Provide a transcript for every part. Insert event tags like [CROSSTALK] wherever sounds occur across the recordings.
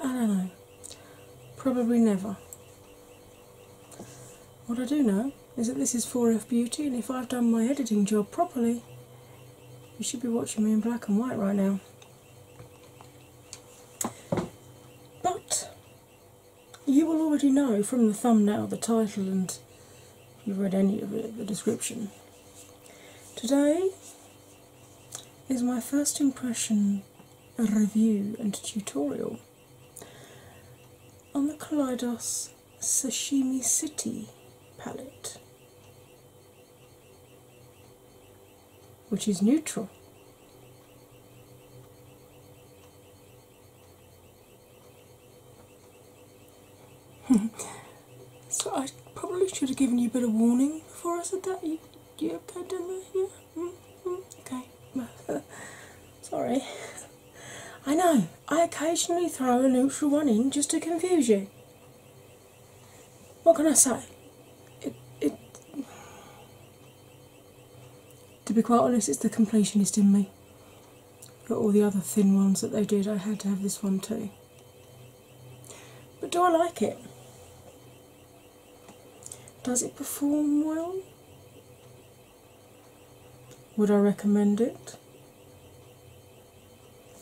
I don't know. Probably never. What I do know is that this is 4F Beauty, and if I've done my editing job properly, you should be watching me in black and white right now. But you will already know from the thumbnail, the title, and if you've read any of it, the description. Today is my first impression a review and tutorial on the Kaleidos Sashimi City palette, which is neutral. [LAUGHS] So I probably should have given you a bit of warning before I said that. You, you okay down there? Yeah? Mm -hmm. Okay. [LAUGHS] Sorry. I know, I occasionally throw an extra one in just to confuse you. What can I say? It, it, to be quite honest, it's the completionist in me. But all the other thin ones that they did, I had to have this one too. But do I like it? Does it perform well? Would I recommend it?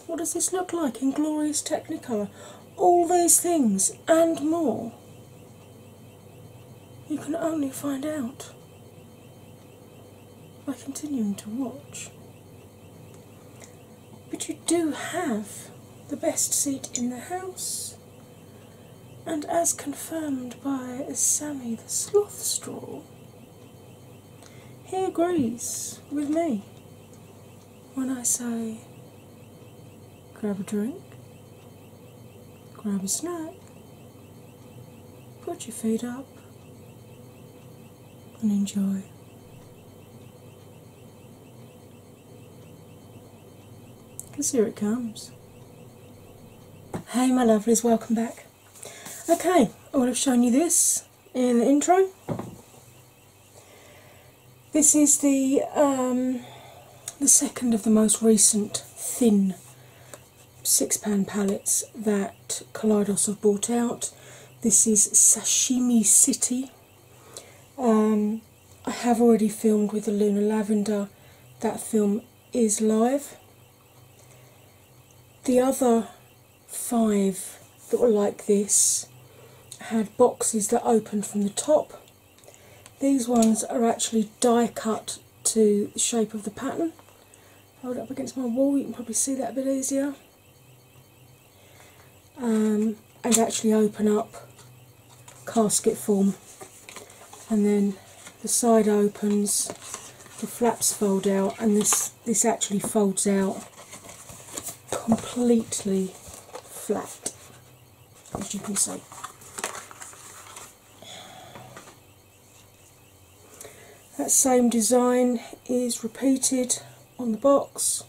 What does this look like in glorious Technicolor? All these things and more. You can only find out by continuing to watch. But you do have the best seat in the house, and as confirmed by Sammy the Sloth Straw, he agrees with me when I say grab a drink, grab a snack, put your feet up, and enjoy. Because here it comes. Hey, my lovelies, welcome back. Okay, I would have shown you this in the intro. This is the um, the second of the most recent thin six pan palettes that Kaleidos have brought out. This is Sashimi City um, I have already filmed with the Lunar Lavender, that film is live. The other five that were like this had boxes that opened from the top. These ones are actually die cut to the shape of the pattern. Hold up against my wall, you can probably see that a bit easier and um, actually open up casket form, and then the side opens, the flaps fold out, and this this actually folds out completely flat, as you can see. That same design is repeated on the box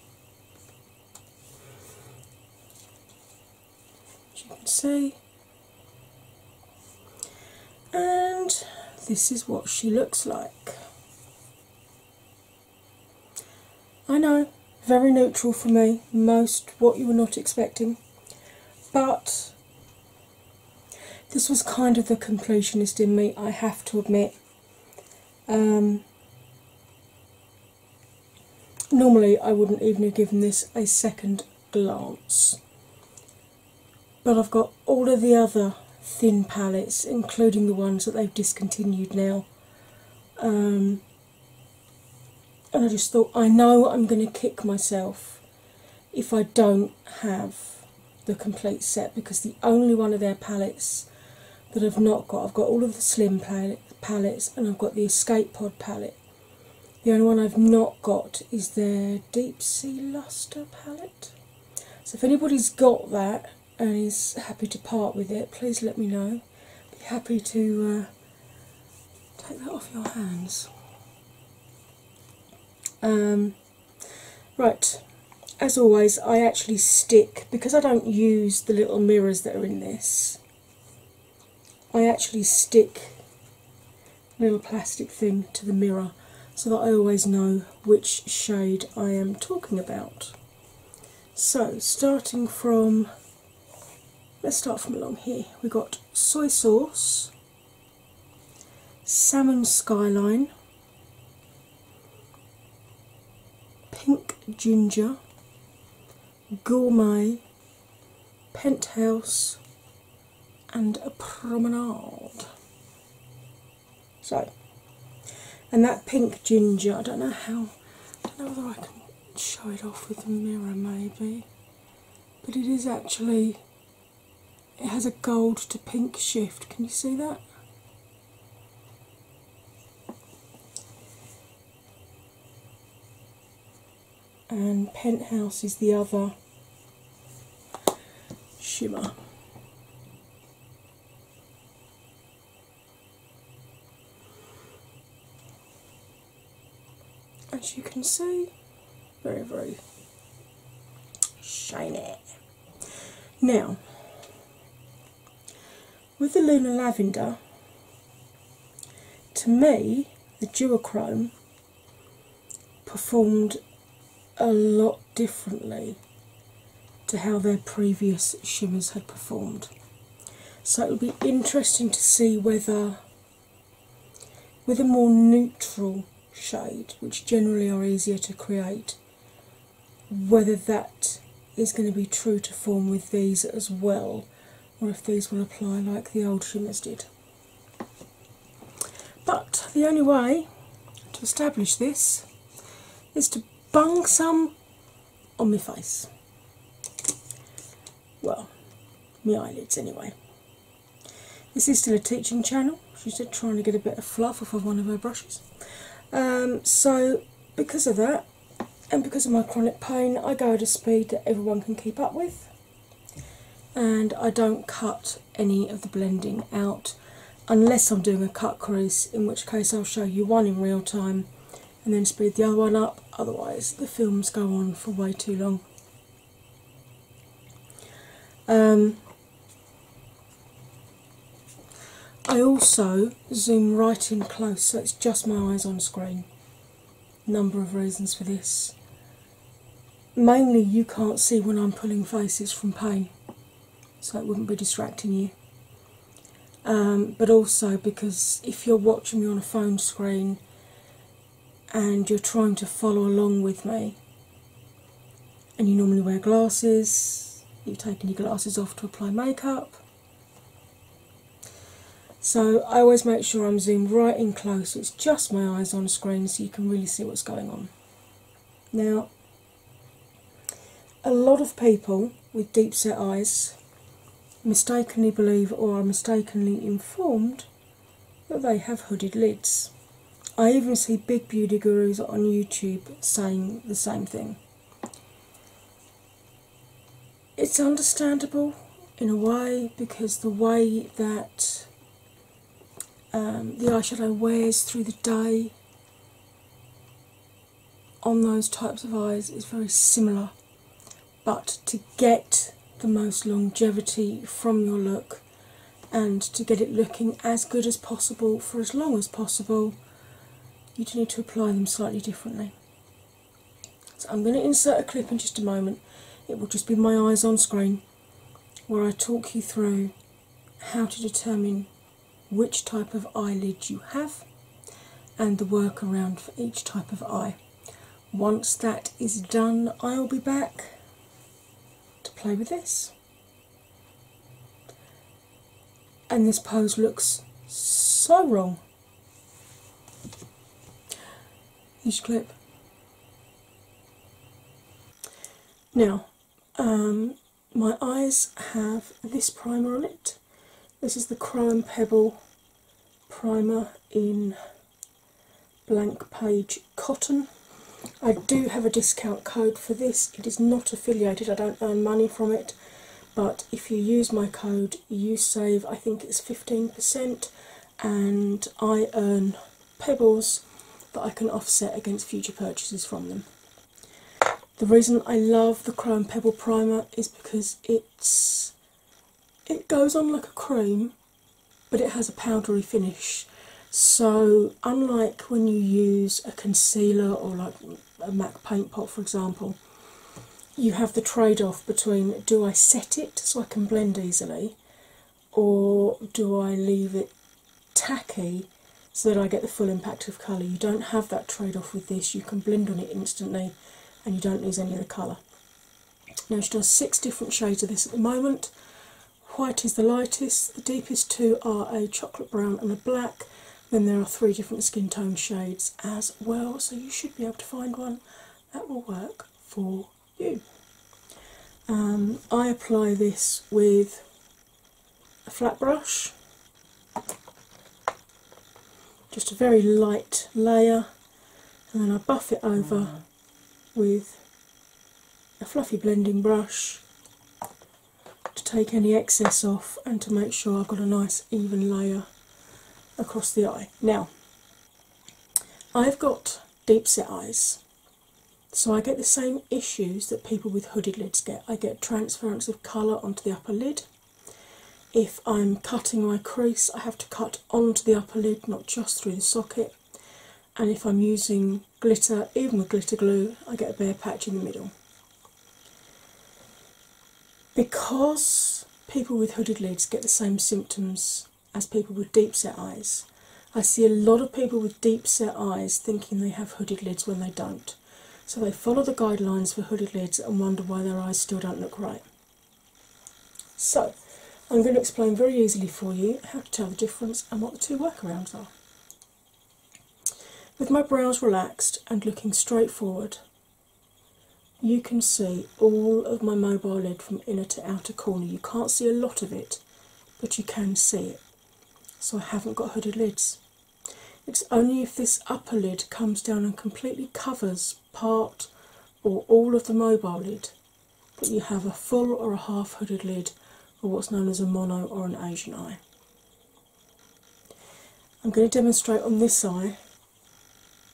as you can see. And this is what she looks like. I know, very neutral for me, most what you were not expecting, but this was kind of the completionist in me, I have to admit. Um, normally, I wouldn't even have given this a second glance, but I've got all of the other thin palettes, including the ones that they've discontinued now. Um, and I just thought, I know I'm going to kick myself if I don't have the complete set because the only one of their palettes that I've not got. I've got all of the slim palettes and I've got the Escape Pod palette. The only one I've not got is their Deep Sea Luster palette. So if anybody's got that and is happy to part with it, please let me know. be happy to uh, take that off your hands. Um, right, as always, I actually stick because I don't use the little mirrors that are in this. I actually stick a little plastic thing to the mirror so that I always know which shade I am talking about. So, starting from let's start from along here. We've got soy sauce, salmon skyline, Pink Ginger, Gourmet, Penthouse, and a Promenade. So, and that pink ginger, I don't know how, I don't know whether I can show it off with a mirror maybe, but it is actually, it has a gold to pink shift. Can you see that? and Penthouse is the other shimmer. As you can see, very, very shiny. Now, with the Lunar Lavender, to me, the duochrome performed a lot differently to how their previous shimmers had performed. So it would be interesting to see whether, with a more neutral shade, which generally are easier to create, whether that is going to be true to form with these as well, or if these will apply like the old shimmers did. But the only way to establish this is to bung some on my face. Well, my eyelids anyway. This is still a teaching channel. She's just trying to get a bit of fluff off of one of her brushes. Um, so because of that, and because of my chronic pain, I go at a speed that everyone can keep up with, and I don't cut any of the blending out unless I'm doing a cut crease, in which case I'll show you one in real time and then speed the other one up, otherwise, the films go on for way too long. Um, I also zoom right in close so it's just my eyes on screen. Number of reasons for this. Mainly, you can't see when I'm pulling faces from pain, so it wouldn't be distracting you. Um, but also because if you're watching me on a phone screen and you're trying to follow along with me, and you normally wear glasses, you've taken your glasses off to apply makeup. So I always make sure I'm zoomed right in close, it's just my eyes on the screen so you can really see what's going on. Now, a lot of people with deep set eyes mistakenly believe or are mistakenly informed that they have hooded lids. I even see big beauty gurus on YouTube saying the same thing. It's understandable in a way because the way that um, the eyeshadow wears through the day on those types of eyes is very similar, but to get the most longevity from your look and to get it looking as good as possible for as long as possible, you just need to apply them slightly differently. So I'm going to insert a clip in just a moment. It will just be my eyes on screen where I talk you through how to determine which type of eyelid you have and the workaround for each type of eye. Once that is done, I'll be back to play with this and this pose looks so wrong. Each clip. Now, um, my eyes have this primer on it. This is the Crime Pebble primer in blank page cotton. I do have a discount code for this. It is not affiliated, I don't earn money from it but if you use my code you save i think it's 15% and i earn pebbles that i can offset against future purchases from them the reason i love the chrome pebble primer is because it's it goes on like a cream but it has a powdery finish so unlike when you use a concealer or like a Mac paint pot, for example, you have the trade off between do I set it so I can blend easily, or do I leave it tacky so that I get the full impact of colour. You don't have that trade off with this, you can blend on it instantly and you don't lose any of the colour. Now she does six different shades of this at the moment. White is the lightest, the deepest two are a chocolate brown and a black, then there are three different skin tone shades as well, so you should be able to find one that will work for you. Um, I apply this with a flat brush, just a very light layer, and then I buff it over mm. with a fluffy blending brush to take any excess off and to make sure I've got a nice even layer across the eye. Now, I've got deep set eyes, so I get the same issues that people with hooded lids get. I get transference of colour onto the upper lid. If I'm cutting my crease, I have to cut onto the upper lid, not just through the socket. And if I'm using glitter, even with glitter glue, I get a bare patch in the middle. Because people with hooded lids get the same symptoms as people with deep set eyes, I see a lot of people with deep set eyes thinking they have hooded lids when they don't. So they follow the guidelines for hooded lids and wonder why their eyes still don't look right. So, I'm going to explain very easily for you how to tell the difference and what the two workarounds are. With my brows relaxed and looking straight forward, you can see all of my mobile lid from inner to outer corner. You can't see a lot of it, but you can see it. So I haven't got hooded lids. It's only if this upper lid comes down and completely covers part or all of the mobile lid that you have a full or a half hooded lid or what's known as a mono or an Asian eye. I'm going to demonstrate on this eye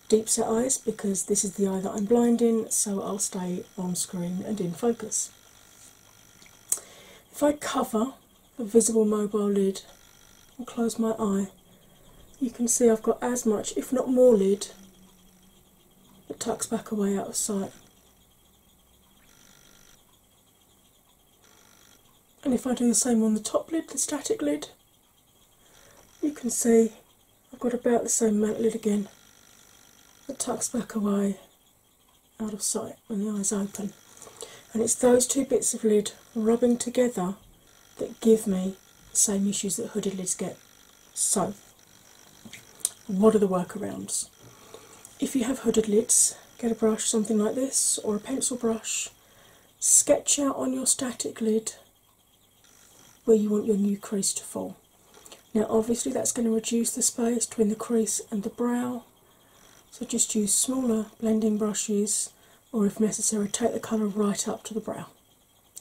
deep set eyes because this is the eye that I'm blind in, so I'll stay on screen and in focus. If I cover the visible mobile lid and close my eye, you can see I've got as much, if not more, lid that tucks back away out of sight. And if I do the same on the top lid, the static lid, you can see I've got about the same amount of lid again that tucks back away out of sight when the eyes open. And it's those two bits of lid rubbing together that give me the same issues that hooded lids get. So, what are the workarounds? If you have hooded lids, get a brush, something like this, or a pencil brush, sketch out on your static lid where you want your new crease to fall. Now, obviously, that's going to reduce the space between the crease and the brow, so just use smaller blending brushes, or if necessary, take the colour right up to the brow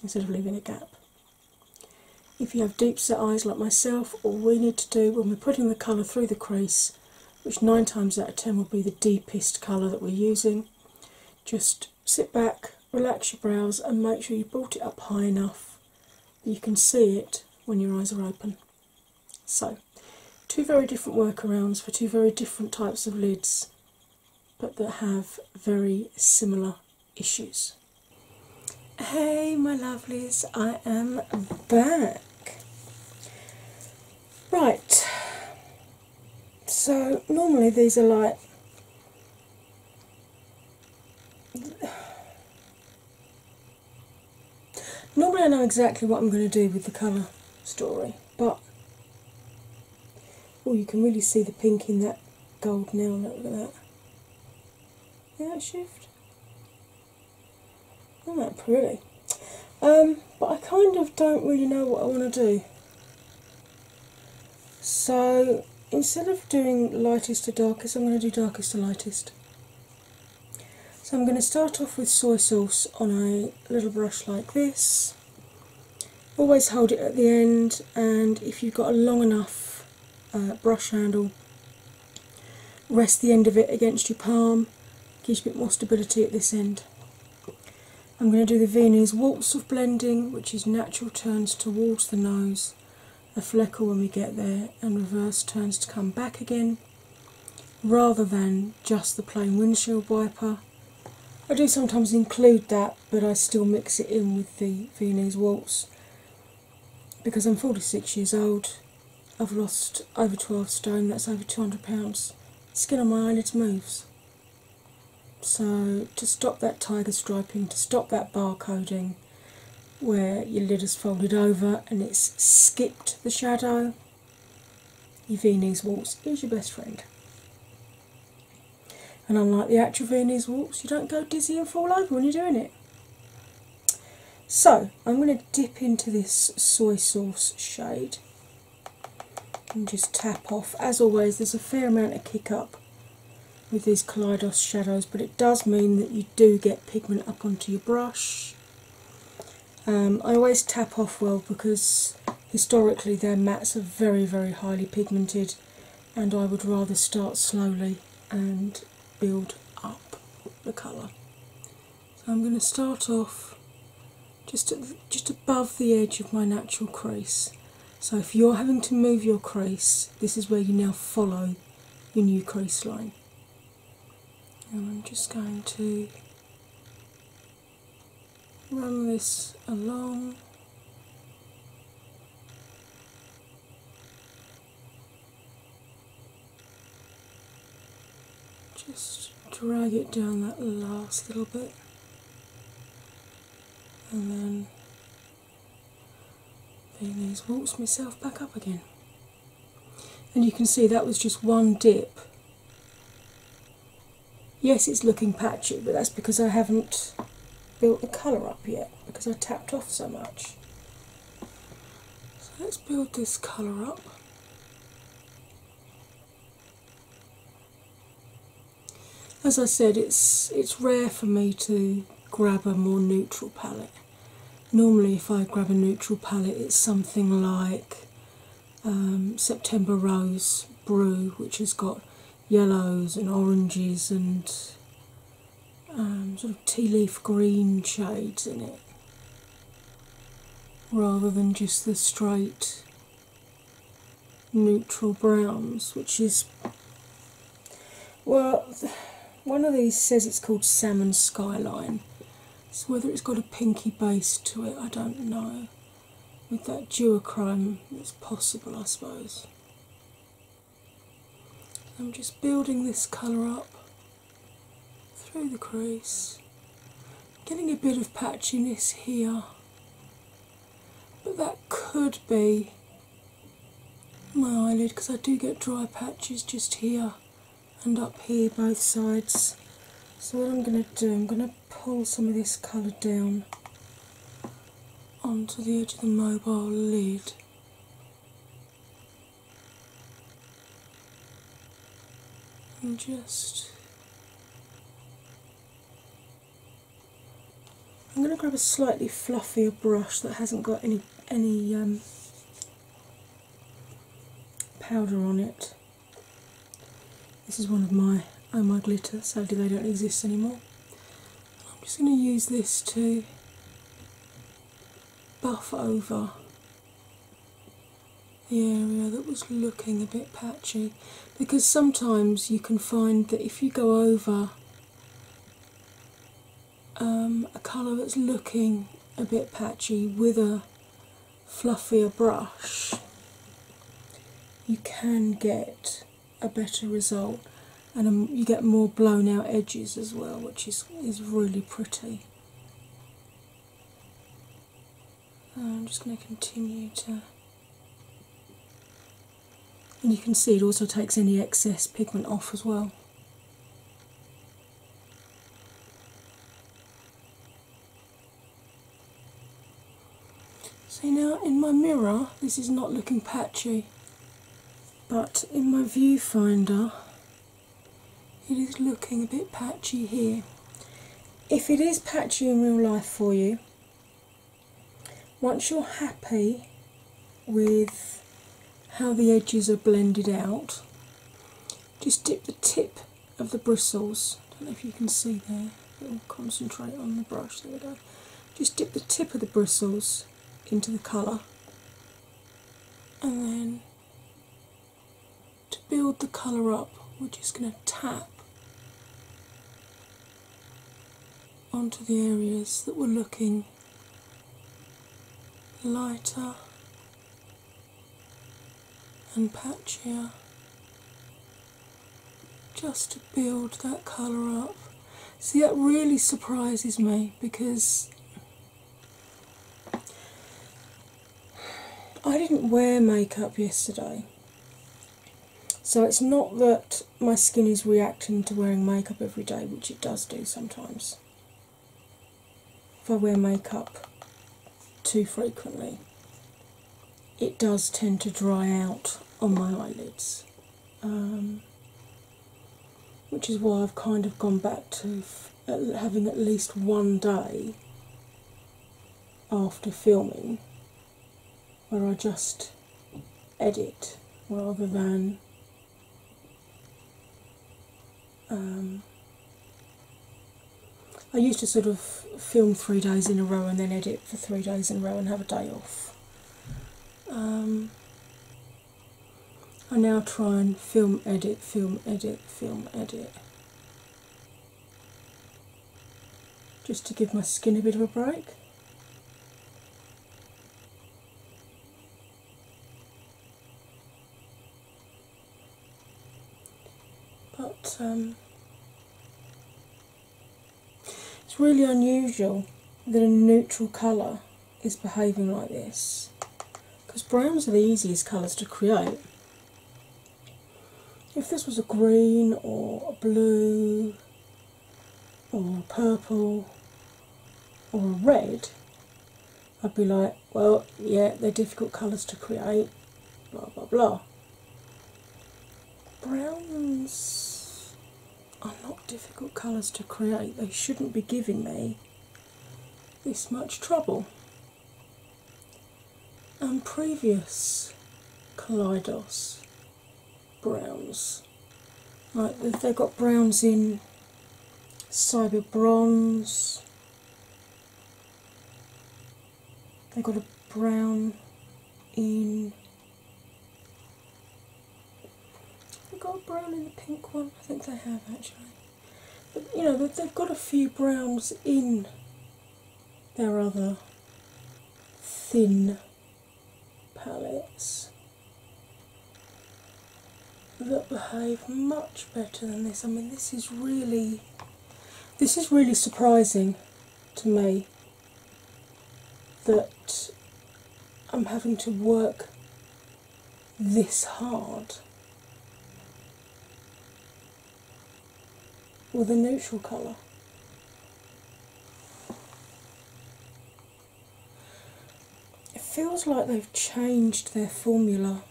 instead of leaving a gap. If you have deep set eyes like myself, all we need to do when we're putting the colour through the crease which nine times out of ten will be the deepest colour that we're using. Just sit back, relax your brows, and make sure you brought it up high enough that you can see it when your eyes are open. So, two very different workarounds for two very different types of lids, but that have very similar issues. Hey, my lovelies, I am back. Right, so normally these are like normally I know exactly what I'm going to do with the colour story, but oh, you can really see the pink in that gold now. Look at that. Yeah, shift. That's oh, not pretty? Um, but I kind of don't really know what I want to do. So instead of doing lightest to darkest, I'm going to do darkest to lightest. So I'm going to start off with soy sauce on a little brush like this. Always hold it at the end, and if you've got a long enough uh, brush handle, rest the end of it against your palm gives you a bit more stability at this end. I'm going to do the Viennese Waltz of Blending, which is natural turns towards the nose, a fleckle when we get there, and reverse turns to come back again, rather than just the plain windshield wiper. I do sometimes include that, but I still mix it in with the Viennese Waltz because I'm 46 years old I've lost over 12 stone, that's over 200 pounds. Skin on my eyelids moves. So, to stop that tiger striping, to stop that barcoding where your lid is folded over and it's skipped the shadow, your Viennese walks is your best friend. And unlike the actual Viennese walks, you don't go dizzy and fall over when you're doing it. So, I'm going to dip into this soy sauce shade and just tap off. As always, there's a fair amount of kick up with these Kaleidos shadows, but it does mean that you do get pigment up onto your brush. Um, I always tap off well because historically their mats are very, very highly pigmented, and I would rather start slowly and build up the colour. So I'm going to start off just just above the edge of my natural crease. So if you're having to move your crease, this is where you now follow your new crease line. And I'm just going to run this along. Just drag it down that last little bit and then these waltz myself back up again. And you can see that was just one dip. Yes, it's looking patchy, but that's because I haven't built the colour up yet because I tapped off so much. So let's build this colour up. As I said, it's it's rare for me to grab a more neutral palette. Normally, if I grab a neutral palette, it's something like um, September Rose Brew, which has got yellows and oranges and um, sort of tea leaf green shades in it rather than just the straight neutral browns, which is well, one of these says it's called Salmon Skyline. So whether it's got a pinky base to it, I don't know. With that duo duochrome, it's possible, I suppose. I'm just building this colour up through the crease, getting a bit of patchiness here, but that could be my eyelid because I do get dry patches just here and up here, both sides. So, what I'm going to do, I'm going to pull some of this colour down onto the edge of the mobile lid just I'm going to grab a slightly fluffier brush that hasn't got any any um, powder on it. This is one of my Oh My Glitter, sadly they don't exist anymore. I'm just going to use this to buff over the area that was looking a bit patchy because sometimes you can find that if you go over um, a colour that's looking a bit patchy with a fluffier brush, you can get a better result and um, you get more blown out edges as well, which is, is really pretty. Uh, I'm just going to continue to. And you can see it also takes any excess pigment off as well. See now in my mirror, this is not looking patchy, but in my viewfinder, it is looking a bit patchy here. If it is patchy in real life for you, once you're happy with how the edges are blended out, just dip the tip of the bristles. don't know if you can see there, we'll concentrate on the brush. There we go. Just dip the tip of the bristles into the colour and then to build the colour up, we're just going to tap onto the areas that were looking lighter and patchier just to build that colour up. See, that really surprises me because I didn't wear makeup yesterday, so it's not that my skin is reacting to wearing makeup every day, which it does do sometimes. If I wear makeup too frequently, it does tend to dry out on my eyelids, um, which is why I've kind of gone back to having at least one day after filming where I just edit rather than um, I used to sort of film three days in a row and then edit for three days in a row and have a day off. Um, I now try and film, edit, film, edit, film, edit just to give my skin a bit of a break. But um, it's really unusual that a neutral colour is behaving like this because browns are the easiest colours to create. If this was a green or a blue or a purple or a red, I'd be like, well, yeah, they're difficult colours to create, blah blah blah. Browns are not difficult colours to create, they shouldn't be giving me this much trouble and previous Kaleidos browns. Like they've got browns in Cyber Bronze, they've got a brown in. They've got a brown in the pink one, I think they have actually. But, you know, they've got a few browns in their other thin palettes that behave much better than this. I mean, this is really, this is really surprising to me that I'm having to work this hard. or the neutral colour. It feels like they've changed their formula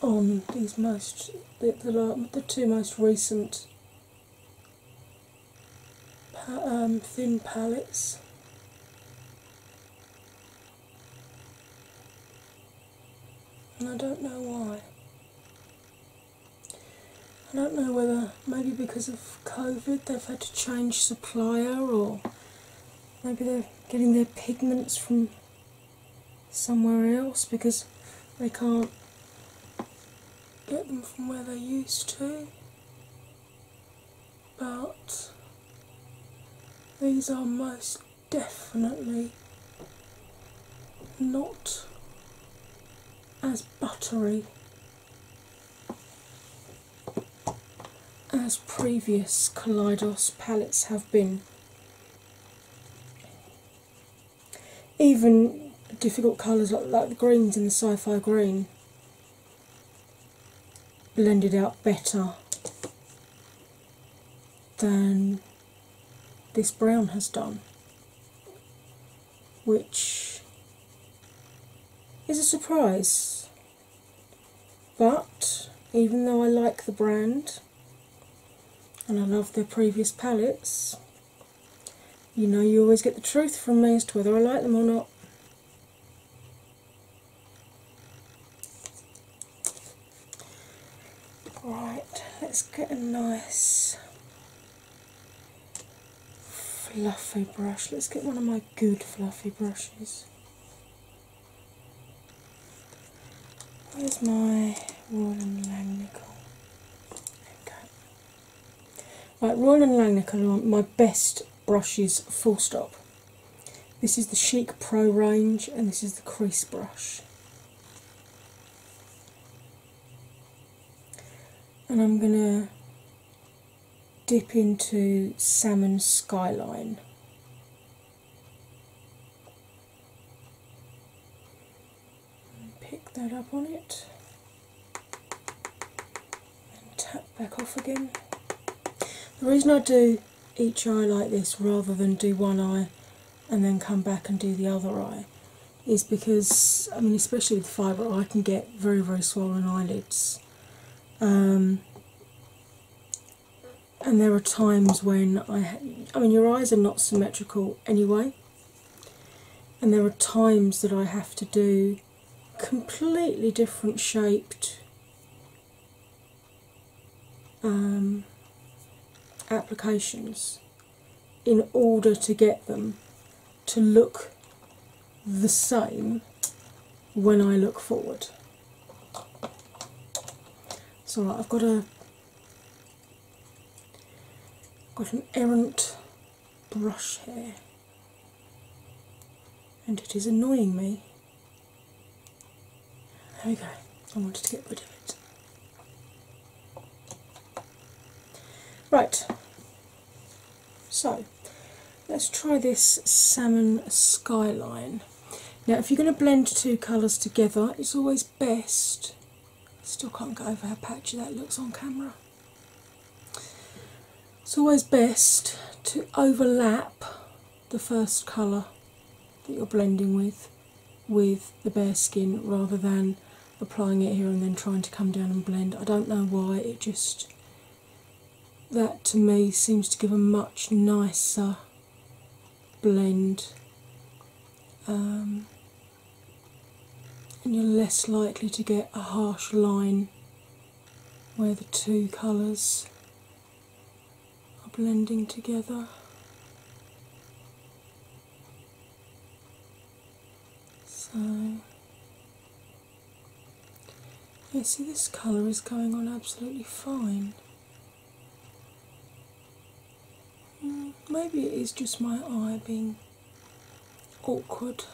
on these most the, the, the two most recent um, thin palettes and I don't know why. I don't know whether maybe because of COVID they've had to change supplier or maybe they're getting their pigments from somewhere else because they can't get them from where they used to but these are most definitely not as buttery as previous Kaleidos palettes have been. Even difficult colours like, the greens in the sci fi green blended out better than this brown has done, which is a surprise. But even though I like the brand and I love their previous palettes, you know you always get the truth from me as to whether I like them or not. Right, let's get a nice fluffy brush. Let's get one of my good fluffy brushes. Where's my Royal and Langnickel? Okay. Right, Royal and Langnickel my best brushes full stop. This is the Chic Pro range, and this is the crease brush. And I'm going to dip into Salmon Skyline. Pick that up on it and tap back off again. The reason I do each eye like this rather than do one eye and then come back and do the other eye is because, I mean, especially with fibro, I can get very, very swollen eyelids. Um, and there are times when I, I mean, your eyes are not symmetrical anyway. And there are times that I have to do completely different shaped um, applications in order to get them to look the same when I look forward. So I've got a got an errant brush here and it is annoying me there we go. I wanted to get rid of it. Right, so let's try this salmon skyline. Now, if you're going to blend two colours together, it's always best. still can't go over how patchy that looks on camera. It's always best to overlap the first colour that you're blending with with the bare skin rather than applying it here and then trying to come down and blend. I don't know why, it just that to me seems to give a much nicer blend. Um, and you're less likely to get a harsh line where the two colours are blending together. So, yeah, see, this colour is going on absolutely fine. Mm, maybe it is just my eye being awkward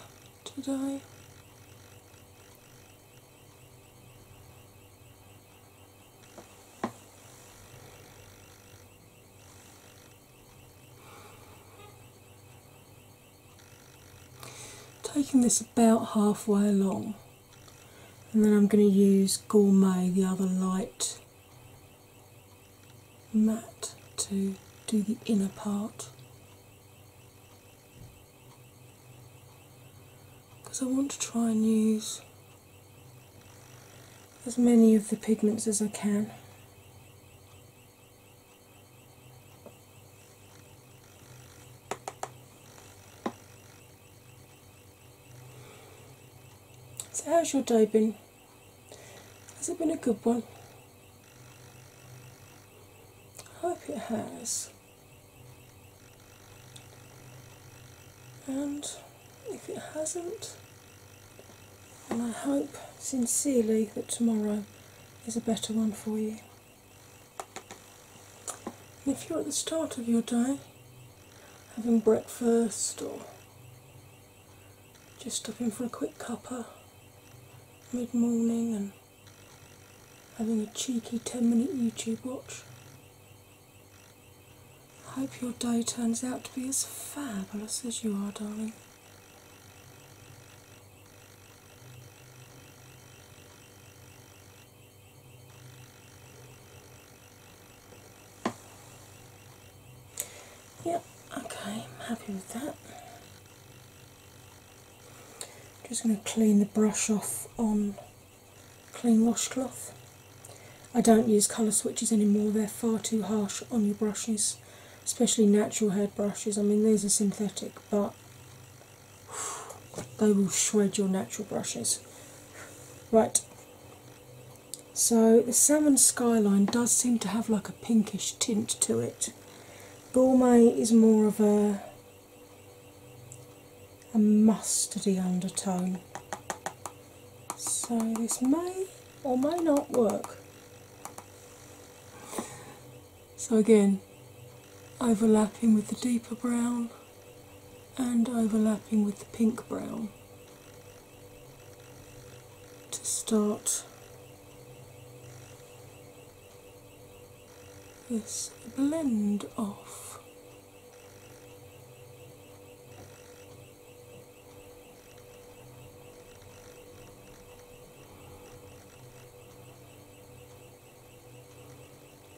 today. Taking this about halfway along, and then I'm going to use Gourmet, the other light matte, to do the inner part because I want to try and use as many of the pigments as I can. So, how's your day been? Has it been a good one? I hope it has. And if it hasn't, and I hope sincerely that tomorrow is a better one for you. And if you're at the start of your day, having breakfast or just stopping for a quick cuppa mid morning and having a cheeky 10 minute YouTube watch. I hope your day turns out to be as fabulous as you are, darling. Yep, okay, I'm happy with that. Just going to clean the brush off on clean washcloth. I don't use colour switches anymore, they're far too harsh on your brushes, especially natural hair brushes. I mean, these are synthetic, but [SIGHS] they will shred your natural brushes. Right, so the salmon skyline does seem to have like a pinkish tint to it. Gourmet is more of a a mustardy undertone. So this may or may not work. So again, overlapping with the deeper brown and overlapping with the pink brown to start this blend of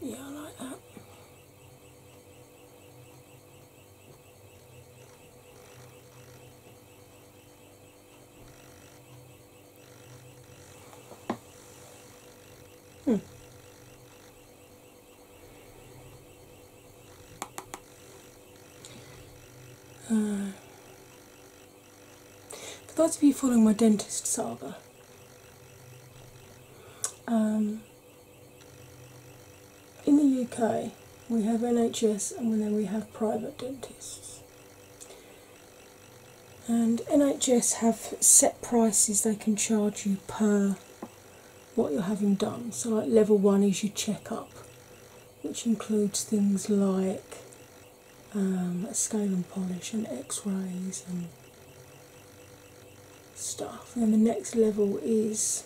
yeah, I like that. Hmm. Uh, for those of you following my dentist saga, um, in the UK we have NHS and then we have private dentists and NHS have set prices they can charge you per what you're having done. So, like level one is your checkup, which includes things like um, a scale and polish and x rays and stuff. And the next level is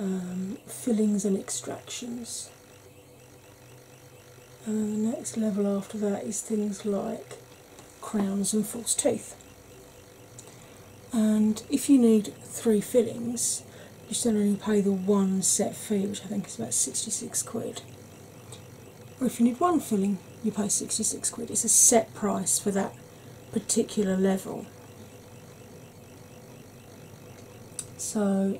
um, fillings and extractions and then the next level after that is things like crowns and false teeth. And if you need three fillings, you still only pay the one set fee, which I think is about 66 quid. Or if you need one filling, you pay 66 quid. It's a set price for that particular level. So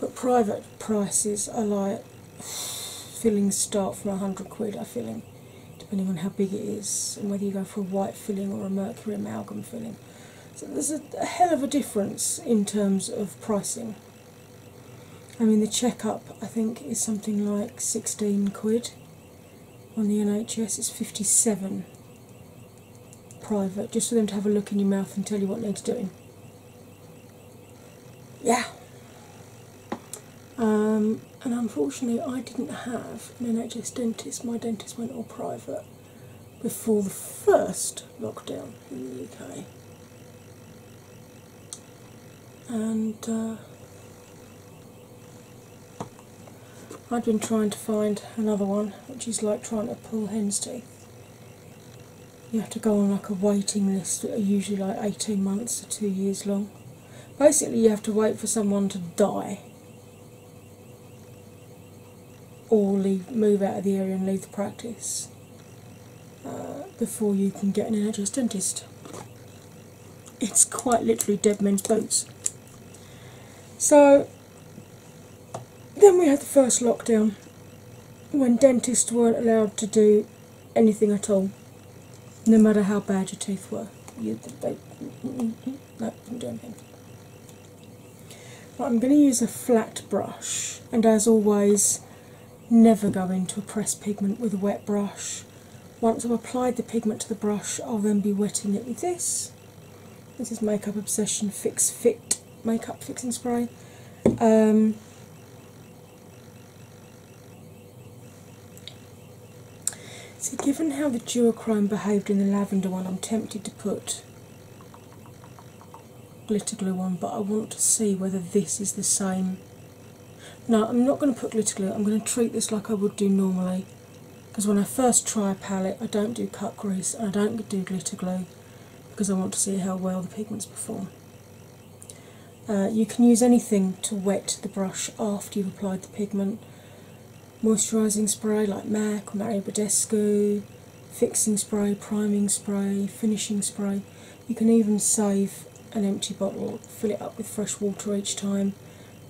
but private prices are like fillings start from a hundred quid. I filling, depending on how big it is and whether you go for a white filling or a mercury amalgam filling. So there's a, a hell of a difference in terms of pricing. I mean, the checkup I think is something like 16 quid on the NHS, it's 57 private, just for them to have a look in your mouth and tell you what needs doing yeah. Um, and unfortunately, I didn't have an NHS dentist. My dentist went all private before the first lockdown in the UK. And uh, I'd been trying to find another one, which is like trying to pull hen's teeth you have to go on like a waiting list that are usually like 18 months or two years long. Basically, you have to wait for someone to die or leave, move out of the area and leave the practice uh, before you can get an NHS dentist. It's quite literally dead men's boats. So then we had the first lockdown when dentists weren't allowed to do anything at all, no matter how bad your teeth were. You, they, no, didn't do anything. I'm going to use a flat brush, and as always, never go into a pressed pigment with a wet brush. Once I've applied the pigment to the brush, I'll then be wetting it with this. This is Makeup Obsession Fix Fit Makeup Fixing Spray. Um, so, given how the duochrome behaved in the lavender one, I'm tempted to put glitter glue on, but I want to see whether this is the same. No, I'm not going to put glitter glue, I'm going to treat this like I would do normally. Because when I first try a palette, I don't do cut grease and I don't do glitter glue because I want to see how well the pigments perform. Uh, you can use anything to wet the brush after you've applied the pigment. Moisturising spray like MAC or Mario Badescu, fixing spray, priming spray, finishing spray. You can even save an empty bottle, fill it up with fresh water each time,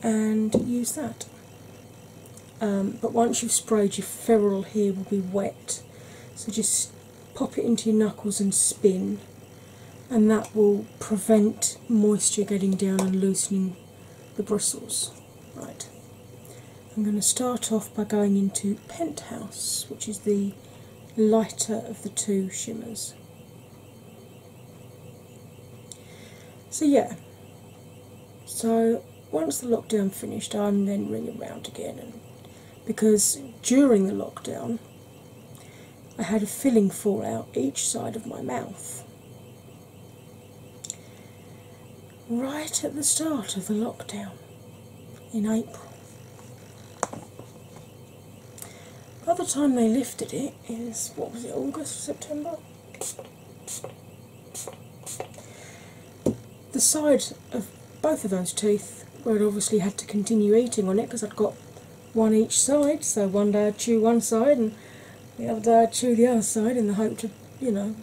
and use that. Um, but once you've sprayed, your ferrule here will be wet, so just pop it into your knuckles and spin, and that will prevent moisture getting down and loosening the bristles. Right, I'm going to start off by going into Penthouse, which is the lighter of the two shimmers. So, yeah, so once the lockdown finished, I'm then ringing round again and because during the lockdown I had a filling fall out each side of my mouth. Right at the start of the lockdown in April. By the time they lifted it, it was what was it, August, September? the sides of both of those teeth where i obviously had to continue eating on it because I'd got one each side, so one day I'd chew one side and the other day I'd chew the other side in the hope to, you know,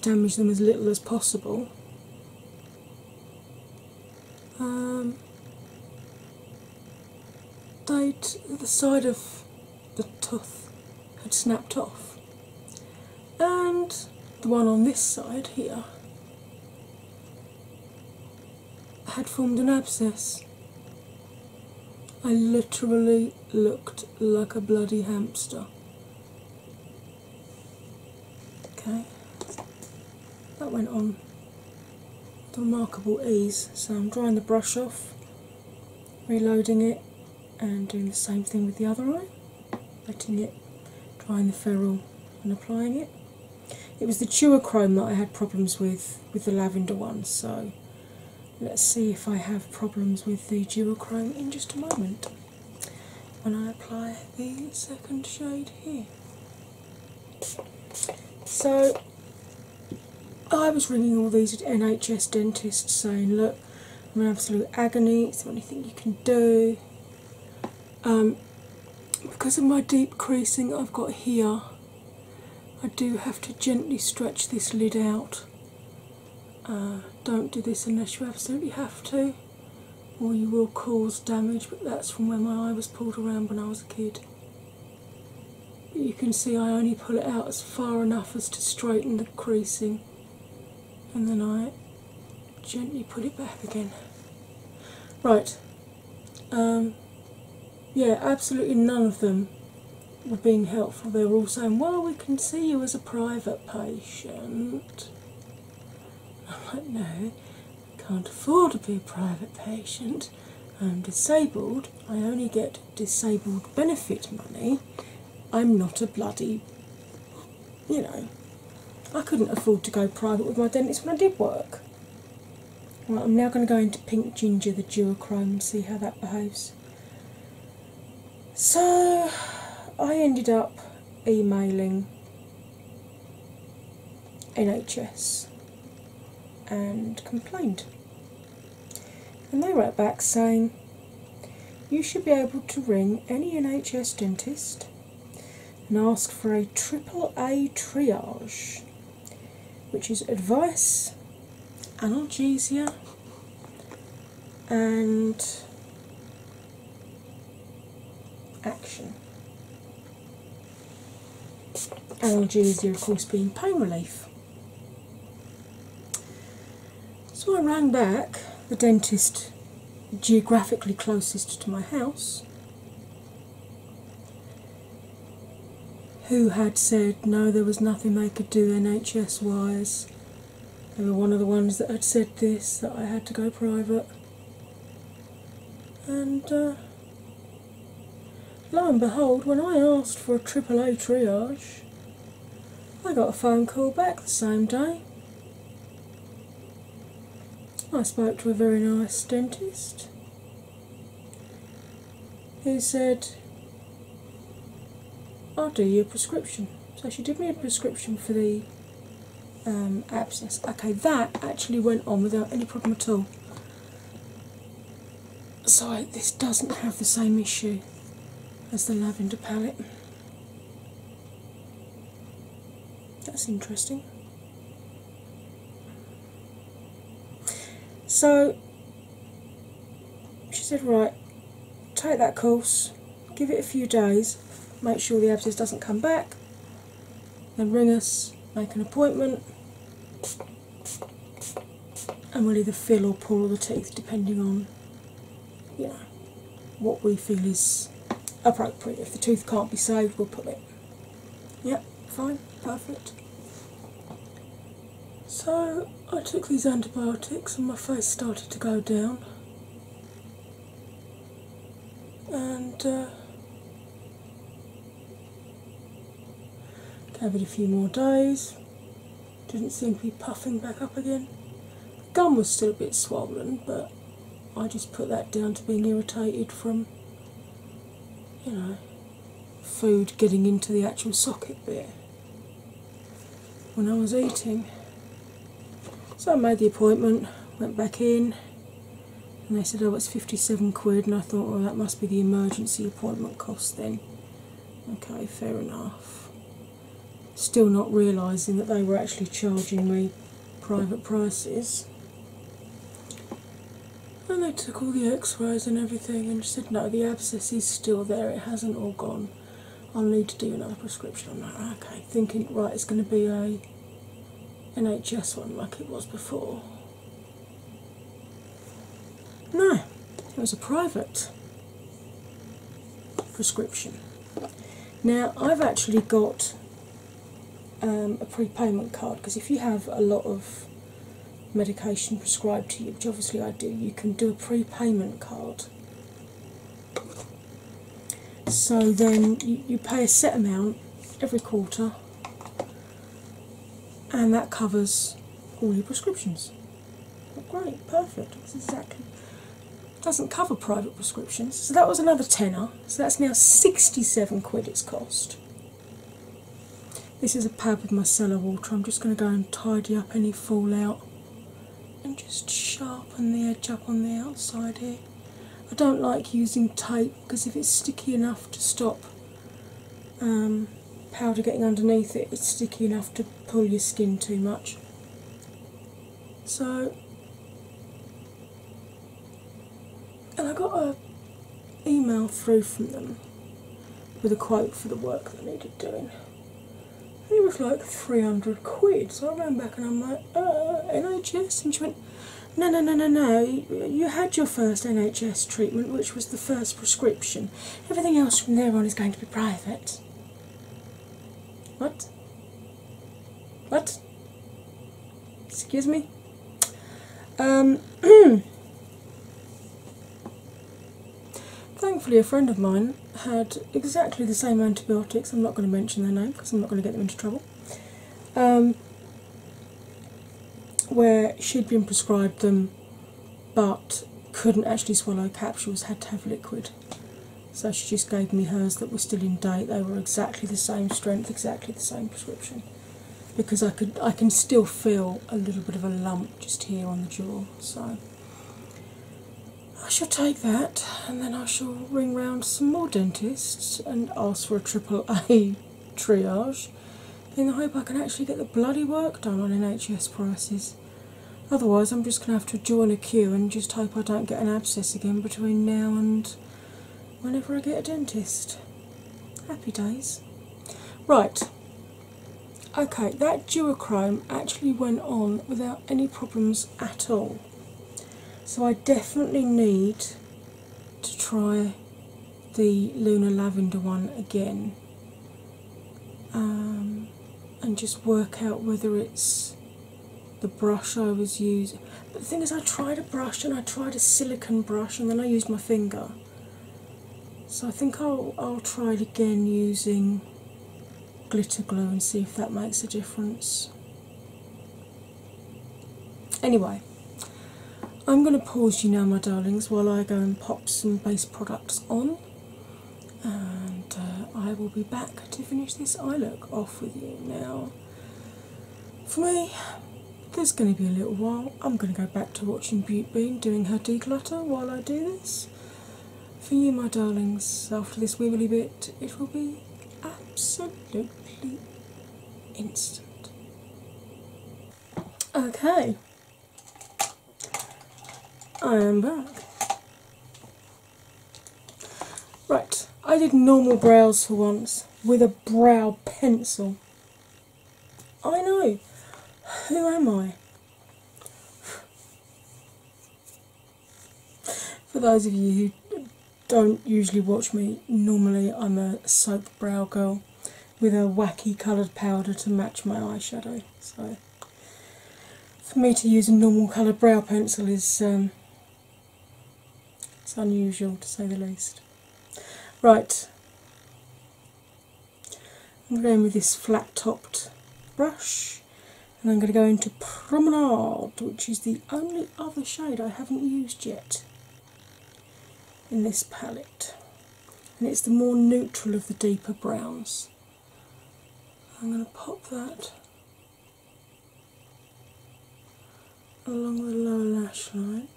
damage them as little as possible. Um, the side of the tooth had snapped off and the one on this side here had formed an abscess. I literally looked like a bloody hamster. Okay, that went on remarkable ease. So I'm drying the brush off, reloading it, and doing the same thing with the other eye wetting it, drying the ferrule, and applying it. It was the chrome that I had problems with with the lavender one, so let's see if I have problems with the chrome in just a moment when I apply the second shade here. So I was ringing all these NHS dentists saying, Look, I'm in absolute agony, is there anything you can do? Um, because of my deep creasing I've got here, I do have to gently stretch this lid out. Uh, don't do this unless you absolutely have to, or you will cause damage. But that's from where my eye was pulled around when I was a kid. But you can see I only pull it out as far enough as to straighten the creasing, and then I gently put it back again. Right, um, yeah, absolutely none of them were being helpful. They were all saying, Well, we can see you as a private patient. I'm like, No, I can't afford to be a private patient. I'm disabled, I only get disabled benefit money. I'm not a bloody you know, I couldn't afford to go private with my dentist when I did work. Well, I'm now going to go into Pink Ginger, the dual chrome and see how that behaves. So, I ended up emailing NHS and complained. And they wrote back saying, You should be able to ring any NHS dentist and ask for a triple A triage, which is advice, analgesia, and action. Analgesia, of course, being pain relief. So I rang back the dentist geographically closest to my house, who had said no, there was nothing they could do NHS wise. They were one of the ones that had said this, that I had to go private. And uh, lo and behold, when I asked for a AAA triage, I got a phone call back the same day. I spoke to a very nice dentist He said, I'll do you a prescription. So she did me a prescription for the um, abscess. Okay, that actually went on without any problem at all. So, this doesn't have the same issue as the lavender palette. That's interesting. So she said, Right, take that course, give it a few days, make sure the abscess doesn't come back, then ring us, make an appointment, and we'll either fill or pull the teeth depending on you know, what we feel is appropriate. If the tooth can't be saved, we'll put it. Yep, fine, perfect. So I took these antibiotics and my face started to go down. And uh, gave it a few more days. Didn't seem to be puffing back up again. gum was still a bit swollen, but I just put that down to being irritated from, you know, food getting into the actual socket bit when I was eating. So I made the appointment, went back in, and they said, Oh, it's 57 quid. And I thought, Well, oh, that must be the emergency appointment cost then. Okay, fair enough still not realizing that they were actually charging me private prices. And they took all the x rays and everything and said, No, the abscess is still there, it hasn't all gone. I'll need to do another prescription. on that." okay, thinking, right, it's going to be a NHS one like it was before. No, it was a private prescription. Now, I've actually got um, a prepayment card because if you have a lot of medication prescribed to you, which obviously I do, you can do a prepayment card. So then you, pay a set amount every quarter, and that covers all your prescriptions. Great, perfect. That's exactly doesn't cover private prescriptions, so that was another tenner. So that's now 67 quid it's cost. This is a pad with micellar water. I'm just going to go and tidy up any fallout and just sharpen the edge up on the outside here. I don't like using tape because if it's sticky enough to stop um, powder getting underneath it, it's sticky enough to pull your skin too much. So, and I got an email through from them with a quote for the work that needed doing. it was like 300 quid. So I ran back and I'm like, uh, NHS? And she went, no, no, no, no, no. You had your first NHS treatment, which was the first prescription. Everything else from there on is going to be private. What? What? Excuse me? Um, [CLEARS THROAT] thankfully, a friend of mine had exactly the same antibiotics. I'm not going to mention their name because I'm not going to get them into trouble. Um, where she'd been prescribed them but couldn't actually swallow capsules, had to have liquid. So she just gave me hers that were still in date. They were exactly the same strength, exactly the same prescription. Because I could I can still feel a little bit of a lump just here on the jaw. So I shall take that and then I shall ring round some more dentists and ask for a triple A [LAUGHS] triage in the hope I can actually get the bloody work done on NHS prices. Otherwise, I'm just going to have to join a queue and just hope I don't get an abscess again between now and whenever I get a dentist. Happy days. Right, okay, that duochrome actually went on without any problems at all. So, I definitely need to try the Lunar Lavender one again um, and just work out whether it's the brush I was using. But the thing is, I tried a brush and I tried a silicone brush and then I used my finger. So I think I'll, I'll try it again using glitter glue and see if that makes a difference. Anyway, I'm going to pause you now, my darlings, while I go and pop some base products on and uh, I will be back to finish this eye look off with you now. For me, there's going to be a little while. I'm going to go back to watching Butte Bean doing her declutter while I do this. For you, my darlings, after this wibbly bit, it will be absolutely instant. Okay, I am back. Right, I did normal brows for once with a brow pencil. I know. Who am I? For those of you who don't usually watch me, normally I'm a soap brow girl with a wacky coloured powder to match my eyeshadow. So for me to use a normal coloured brow pencil is um, it's unusual to say the least. Right, I'm going with this flat topped brush and I'm going to go into Promenade, which is the only other shade I haven't used yet in this palette. And it's the more neutral of the deeper browns. I'm going to pop that along the lower lash line.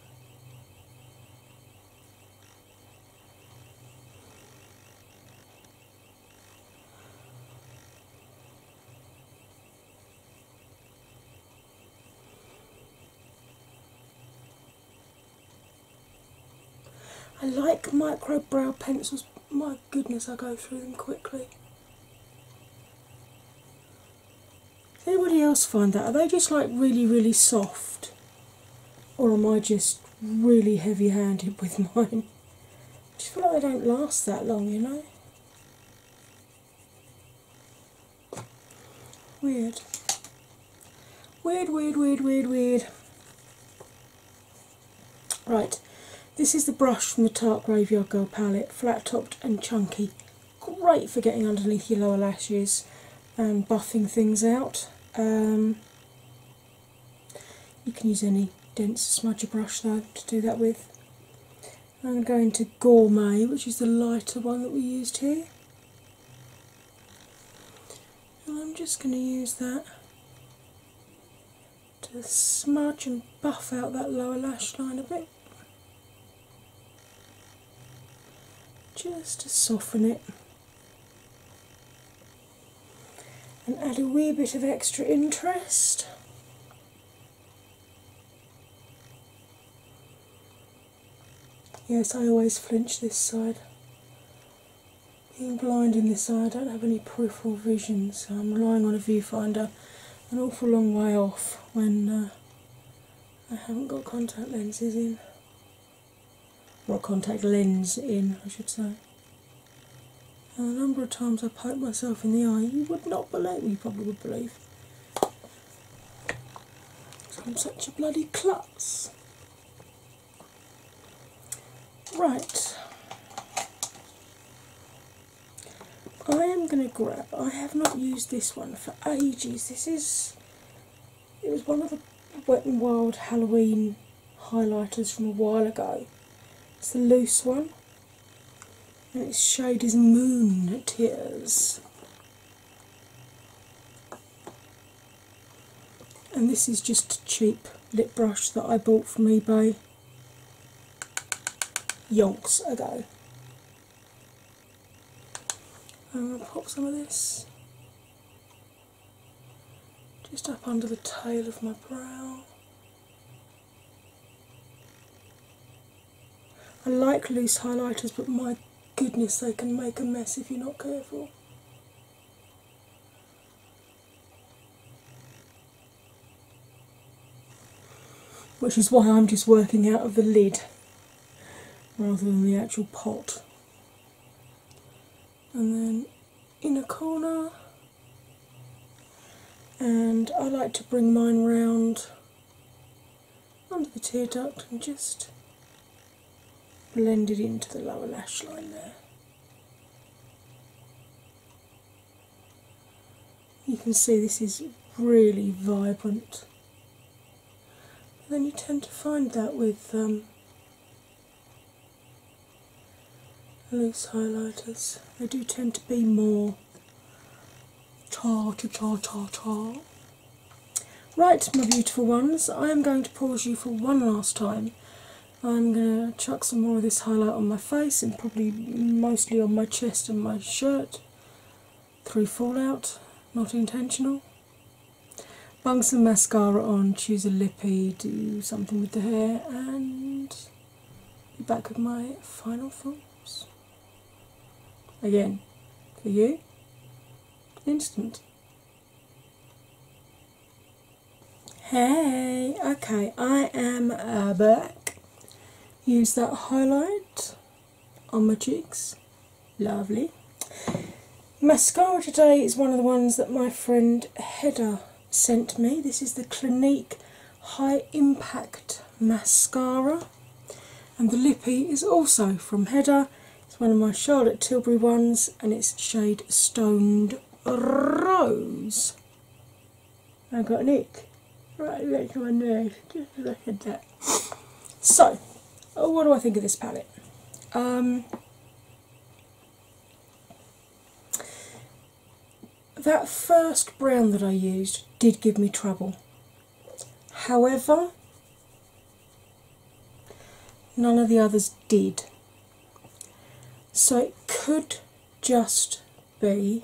I like micro brow pencils my goodness, I go through them quickly. Does anybody else find that? Are they just like really, really soft? Or am I just really heavy handed [LAUGHS] with mine? I just feel like they don't last that long, you know? Weird. Weird, weird, weird, weird, Right, this is the brush from the Tarte Graveyard Girl palette, flat topped and chunky. Great for getting underneath your lower lashes and buffing things out. Um, you can use any dense smudger brush though to do that with. I'm going to Gourmet, which is the lighter one that we used here. I'm just going to use that to smudge and buff out that lower lash line a bit. Just to soften it and add a wee bit of extra interest. Yes, I always flinch this side. Being blind in this eye, I don't have any proof peripheral vision, so I'm relying on a viewfinder an awful long way off when uh, I haven't got contact lenses in. Or contact lens in, I should say. a number of times I poked myself in the eye, you would not believe, you probably would believe. I'm such a bloody klutz. Right. I am going to grab, I have not used this one for ages. This is, it was one of the Wet and Wild Halloween highlighters from a while ago. It's the loose one, and its shade is Moon Tears. And this is just a cheap lip brush that I bought from eBay yonks ago. I'm going to pop some of this just up under the tail of my brow. I like loose highlighters, but my goodness, they can make a mess if you're not careful which is why I'm just working out of the lid rather than the actual pot. And then in a corner, and I like to bring mine round under the tear duct and just blend it into the lower lash line there. You can see this is really vibrant. then you tend to find that with um, loose highlighters, they do tend to be more tar tar tar tar. Right, my beautiful ones, I am going to pause you for one last time I'm going to chuck some more of this highlight on my face and probably mostly on my chest and my shirt through fallout, not intentional. Bung some mascara on, choose a lippy, do something with the hair, and be back with my final thoughts. Again, for you, instant. Hey, okay, I am uh, back. Use that highlight on my cheeks. Lovely. Mascara today is one of the ones that my friend Hedda sent me. This is the Clinique High Impact Mascara, and the lippy is also from Hedda. It's one of my Charlotte Tilbury ones, and it's shade Stoned Rose. I have got an ick right next to my nose. Just look at that. So, oh, what do I think of this palette? Um, that first brown that I used did give me trouble. However, none of the others did. So it could just B,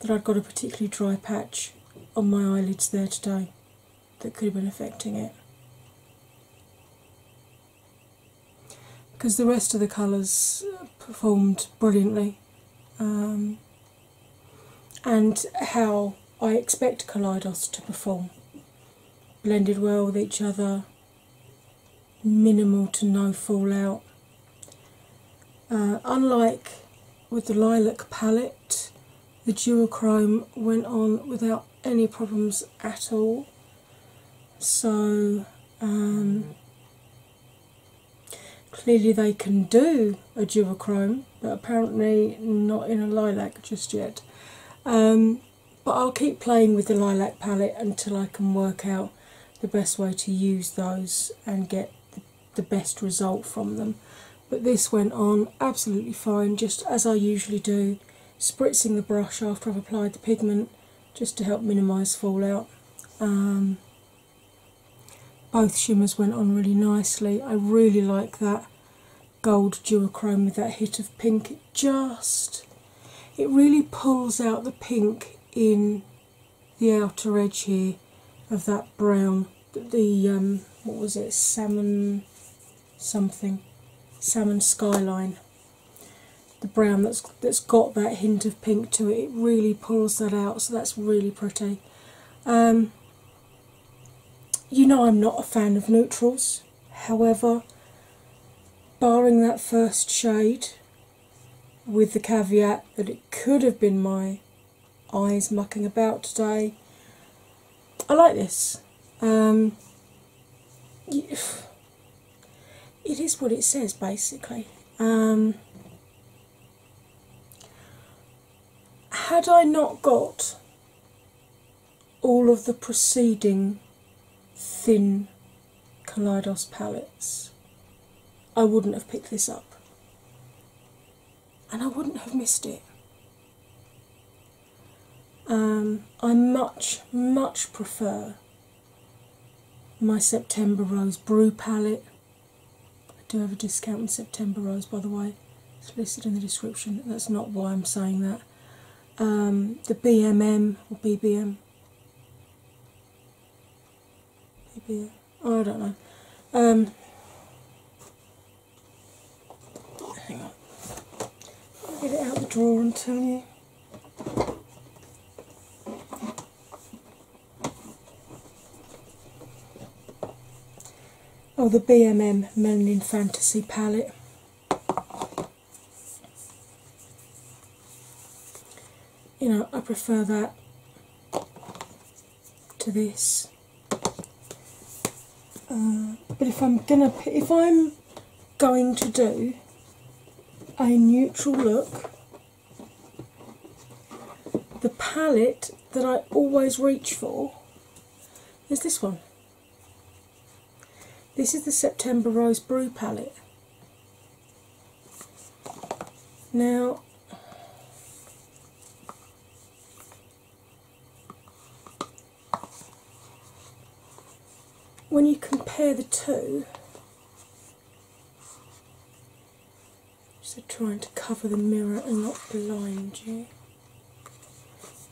that I'd got a particularly dry patch on my eyelids there today that could have been affecting it. Because the rest of the colours performed brilliantly, um, and how I expect Kaleidos to perform blended well with each other, minimal to no fallout. Uh, unlike with the lilac palette, the duochrome went on without any problems at all. So um, clearly they can do a duochrome, but apparently not in a lilac just yet. Um, but I'll keep playing with the lilac palette until I can work out the best way to use those and get the best result from them. But this went on absolutely fine, just as I usually do, spritzing the brush after I've applied the pigment just to help minimise fallout. Um, both shimmers went on really nicely. I really like that gold duochrome with that hit of pink. It just, it really pulls out the pink in the outer edge here of that brown the um, what was it salmon something salmon skyline the brown that's that's got that hint of pink to it it really pulls that out so that's really pretty um, you know i'm not a fan of neutrals however barring that first shade with the caveat that it could have been my eyes mucking about today. I like this. Um, it is what it says, basically. Um, had I not got all of the preceding thin Kaleidos palettes, I wouldn't have picked this up. And I wouldn't have missed it. Um, I much, much prefer my September Rose Brew palette. I do have a discount on September Rose, by the way. It's listed in the description. That's not why I'm saying that. Um, the BMM or BBM Maybe oh, I don't know. Um, hang on. get it out the drawer and tell me. Oh, the BMM Melanin Fantasy palette you know, I prefer that to this. Uh, but if I'm gonna, if I'm going to do a neutral look, the palette that I always reach for is this one. This is the September Rose Brew palette. Now, when you compare the two, so trying to cover the mirror and not blind you,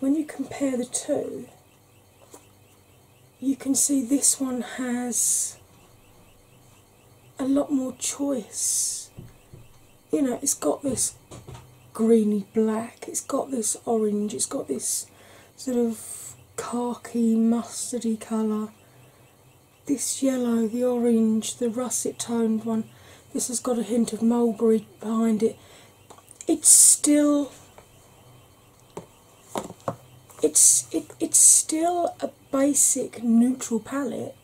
when you compare the two, you can see this one has a lot more choice. You know, it's got this greeny black, it's got this orange, it's got this sort of khaki, mustardy colour. This yellow, the orange, the russet toned one, this has got a hint of mulberry behind it. It's still it's it, it's still a basic neutral palette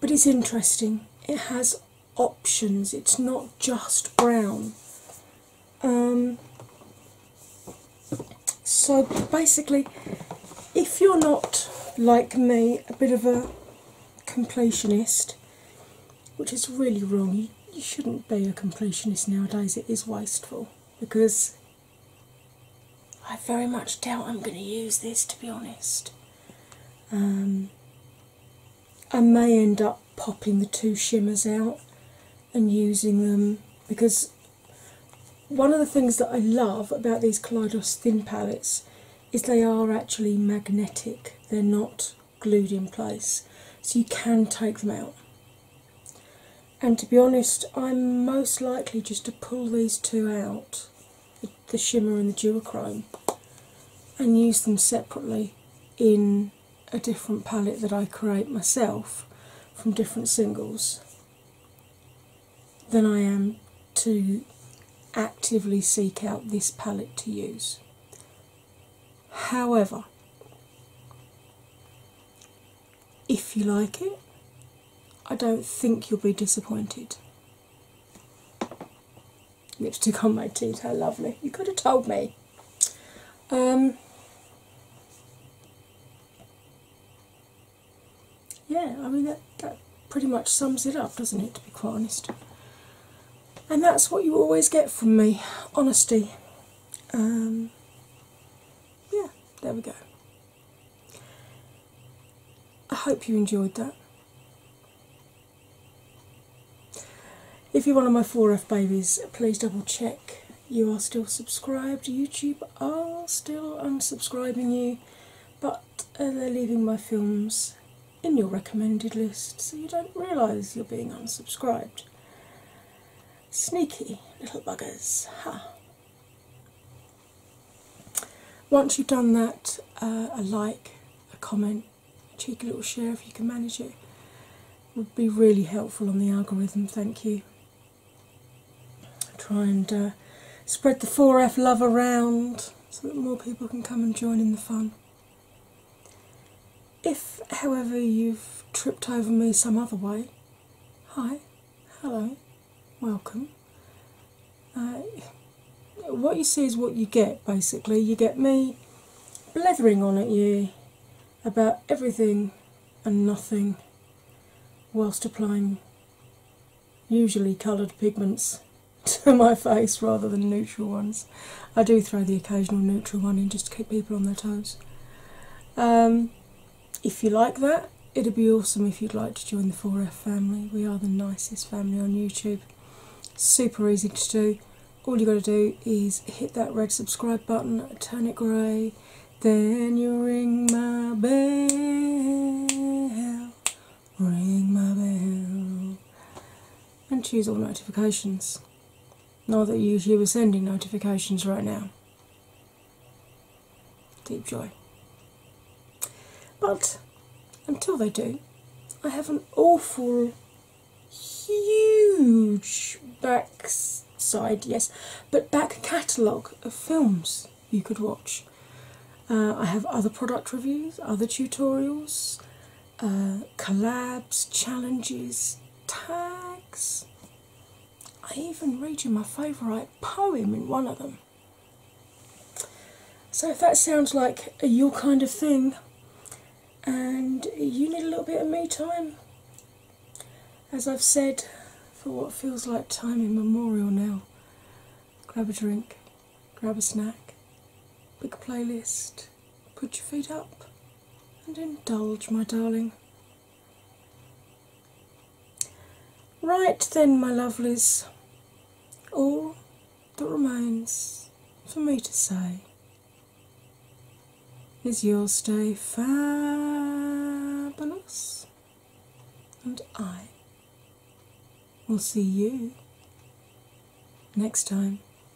but it's interesting it has options it's not just brown um, so basically if you're not like me a bit of a completionist which is really wrong you shouldn't be a completionist nowadays, it is wasteful because I very much doubt I'm going to use this to be honest. Um, I may end up popping the two shimmers out and using them because one of the things that I love about these Kaleidos thin palettes is they are actually magnetic, they're not glued in place, so you can take them out. And to be honest, I'm most likely just to pull these two out the, shimmer and the duochrome and use them separately in a different palette that I create myself from different singles than I am to actively seek out this palette to use. However, if you like it, I don't think you'll be disappointed. Lipstick on my teeth, how lovely. You could have told me. Um, yeah, I mean, that, that pretty much sums it up, doesn't it, to be quite honest? And that's what you always get from me honesty. Um, yeah, there we go. I hope you enjoyed that. If you're one of my 4F babies, please double check you are still subscribed. to YouTube I'm still unsubscribing you, but uh, they're leaving my films in your recommended list so you don't realise you're being unsubscribed. Sneaky little buggers. Huh. Once you've done that, uh, a like, a comment, a cheeky little share if you can manage it would be really helpful on the algorithm. Thank you. Try and uh, spread the 4F love around so that more people can come and join in the fun. If, however, you've tripped over me some other way, hi, hello, welcome. Uh, what you see is what you get basically. You get me blethering on at you about everything and nothing whilst applying usually coloured pigments [LAUGHS] to my face rather than neutral ones. I do throw the occasional neutral one in just to keep people on their toes. Um, if you like that, it'd be awesome if you'd like to join the 4F family. We are the nicest family on YouTube. Super easy to do. All you got to do is hit that red subscribe button, turn it grey, then you ring my bell, ring my bell, and choose all notifications. Not that you usually sending notifications right now. Deep joy. But until they do, I have an awful, huge back side, yes, but back catalogue of films you could watch. Uh, I have other product reviews, other tutorials, uh, collabs, challenges, tags. I even read you my favourite poem in one of them. So, if that sounds like your kind of thing and you need a little bit of me time, as I've said for what feels like time immemorial now, grab a drink, grab a snack, pick a playlist, Put your feet up and indulge, my darling. Right then, my lovelies, all that remains for me to say is you stay fabulous, and I will see you next time.